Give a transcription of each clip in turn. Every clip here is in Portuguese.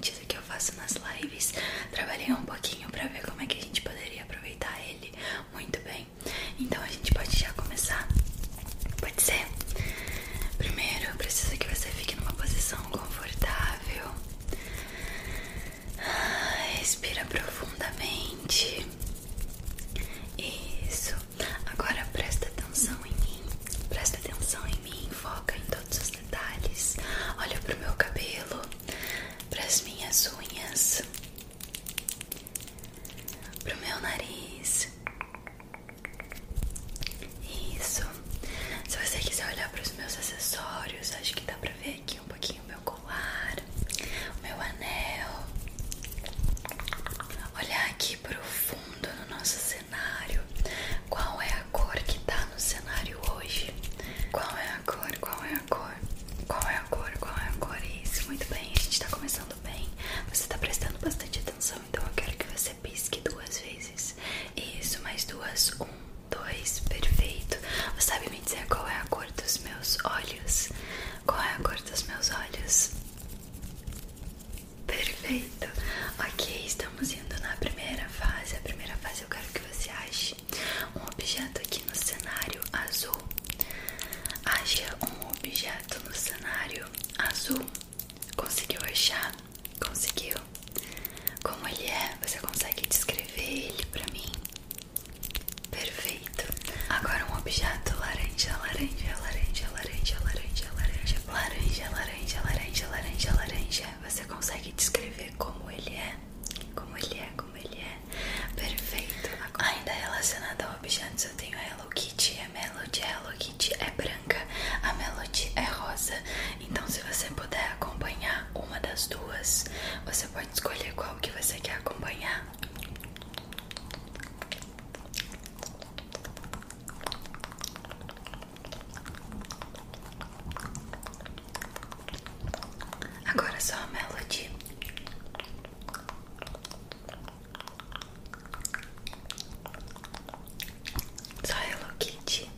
diferentes que eu faço nas lives. Trabalhei um pouquinho pra ver como é que a gente poderia aproveitar ele muito bem. Então a gente pode já começar. Pode ser? Primeiro eu preciso que você fique numa posição confortável. Respira profundamente. Isso. Agora presta atenção em mim. Presta atenção em mim. Foca em todos os detalhes. Olha pro meu cabelo, pras minhas unhas, pro meu nariz. Isso. Se você quiser olhar pros meus acessórios, acho que dá para ver aqui um pouquinho o meu colar, o meu anel. Olhar aqui pro fundo no nosso cenário. Qual é a cor que tá no cenário hoje? Qual é a cor? Qual é a cor? Qual é a cor? Qual é a cor? Isso, muito bem, a gente tá começando bem. Você tá prestando bastante atenção, então eu quero que você pisque duas vezes. Isso, mais duas. Um, dois, perfeito. Você sabe me dizer qual é a cor dos meus olhos? Qual é a cor dos meus olhos? Perfeito. Ok, estamos indo na primeira fase. A primeira fase eu quero que você ache um objeto aqui no cenário azul. Ache um objeto no cenário azul. Conseguiu achar? Conseguiu? Como ele é? Você consegue descrever ele pra mim? Perfeito. Agora um objeto laranja, laranja, laranja, laranja, laranja, laranja, laranja, laranja, laranja, laranja, laranja. Você consegue descrever? como ele é, como ele é, como ele é. Perfeito. Agora. Ainda relacionada a objetos, eu tenho a Hello Kitty, a é Melody. A é Hello Kitty é branca, a Melody é rosa. Então, se você puder acompanhar uma das duas, você pode escolher qual que você quer acompanhar. Agora é só a Melody. Só a Kitty.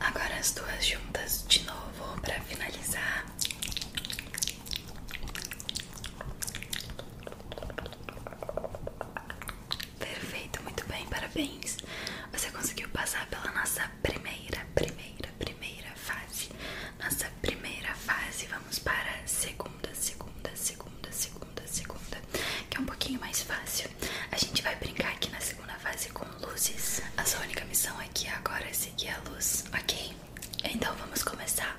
Agora as duas juntas de novo para finalizar. Perfeito, muito bem, parabéns. Você conseguiu passar pela nossa primeira, primeira, primeira fase. Nossa primeira fase, vamos para a segunda, segunda, segunda, segunda, segunda, que é um pouquinho mais fácil. A gente vai brincar aqui na segunda fase com luzes. A sua única missão aqui agora é seguir a luz, ok? Então vamos começar.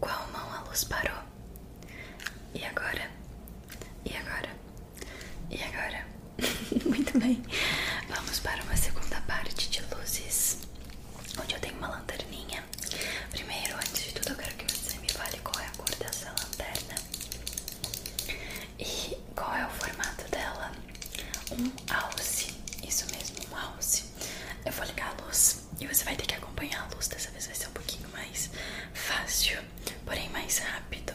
Qual mão a luz parou? E agora? E agora? E agora? Muito bem. Vamos para uma segunda parte de luzes, onde eu tenho uma lanterninha. Primeiro, antes de tudo, eu quero que você me fale qual é a cor dessa lanterna e qual é o formato dela. Um alce, isso mesmo, um alce. Eu vou ligar a luz e você vai ter que acompanhar a luz. Dessa vez vai ser um pouquinho mais fácil, porém mais rápido.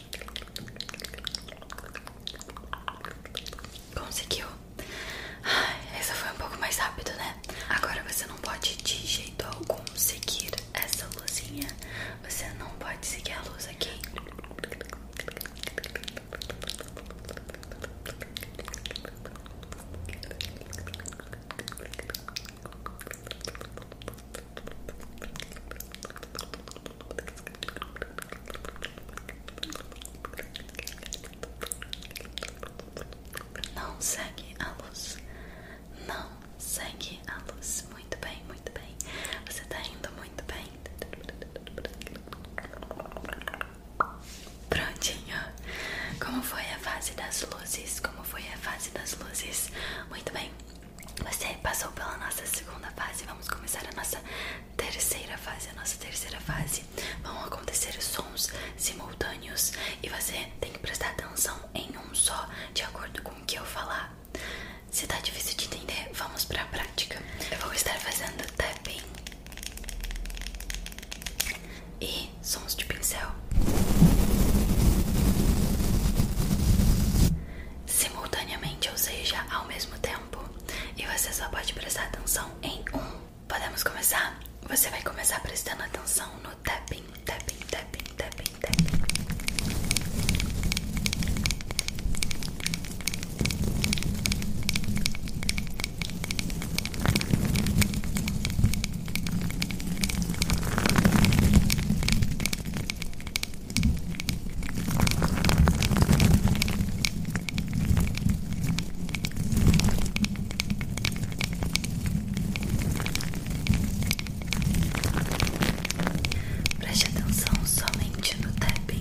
Conseguiu? Ai, essa foi um pouco mais rápido, né? Agora você não pode de jeito algum seguir essa luzinha. Você não pode seguir a luz aqui. Não segue a luz. Não segue a luz. Muito bem, muito bem. Você tá indo muito bem. Prontinho. Como foi a fase das luzes? Como foi a fase das luzes? Muito bem. Você passou pela nossa segunda fase. Vamos começar a nossa terceira fase, a nossa terceira fase, vão acontecer sons simultâneos e você tem que prestar atenção em um só, de acordo com o que eu falar. Se tá difícil de entender, vamos pra prática. Eu vou estar fazendo tapping e sons de pincel simultaneamente, ou seja, ao mesmo tempo e você só pode prestar atenção em um. Podemos começar? Você vai começar prestando atenção no tapping, tapping, tapping, tapping, tapping. Preste atenção somente no tapping.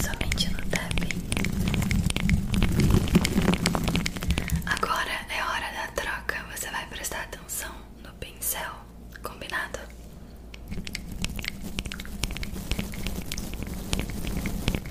Somente no tapping. Agora é hora da troca. Você vai prestar atenção no pincel, combinado?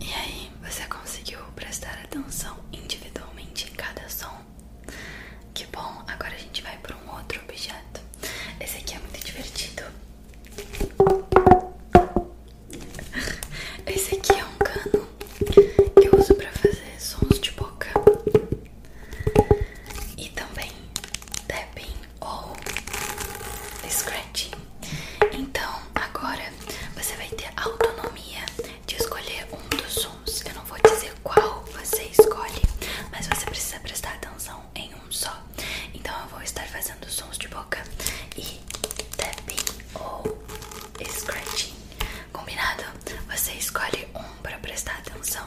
E aí, você conseguiu prestar atenção individualmente em cada som. Que bom, agora a gente vai para um outro objeto. Esse aqui é muito divertido. Esse aqui é um cano que eu uso para fazer sons de boca e também tapping ou scratching. Então agora você vai ter autonomia de escolher um dos sons. Eu não vou dizer qual você escolhe, mas você precisa prestar atenção em um só. Então eu vou estar fazendo sons de boca e tapping ou scratching. Combinado? Você escolhe um para prestar atenção.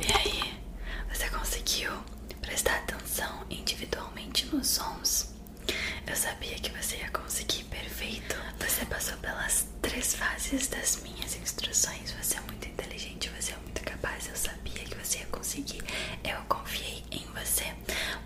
E aí, você conseguiu prestar atenção individualmente nos sons? Eu sabia que você ia conseguir, perfeito. Você passou pelas três fases das minhas instruções. Você é muito inteligente, você é muito capaz. Eu sabia que você ia conseguir. Eu confiei em você.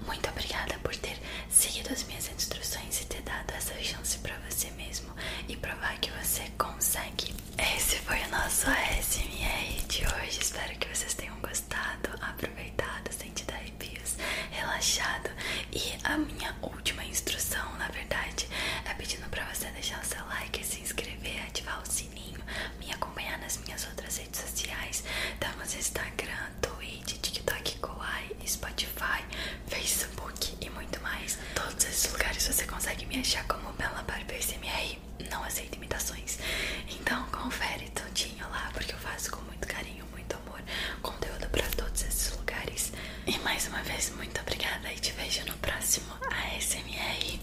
Muito obrigada por ter seguido as minhas instruções e ter dado essa chance para você mesmo e provar que você consegue. Esse foi o nosso ASMR de hoje. Espero que vocês tenham gostado, aproveitado, sentido arrepios, relaxado. E a minha última instrução, na verdade, é pedindo para você deixar o seu like, se inscrever, ativar o sininho, me acompanhar nas minhas outras nas redes sociais. Tá, Instagram, Twitch, TikTok, Kawaii, Spotify, Facebook e muito mais. Todos esses lugares você consegue me achar como Bella Barber SMR. Não aceito imitações. Então confere tudinho lá, porque eu faço com muito carinho, muito amor, conteúdo pra todos esses lugares. E mais uma vez, muito obrigada e te vejo no próximo ASMR.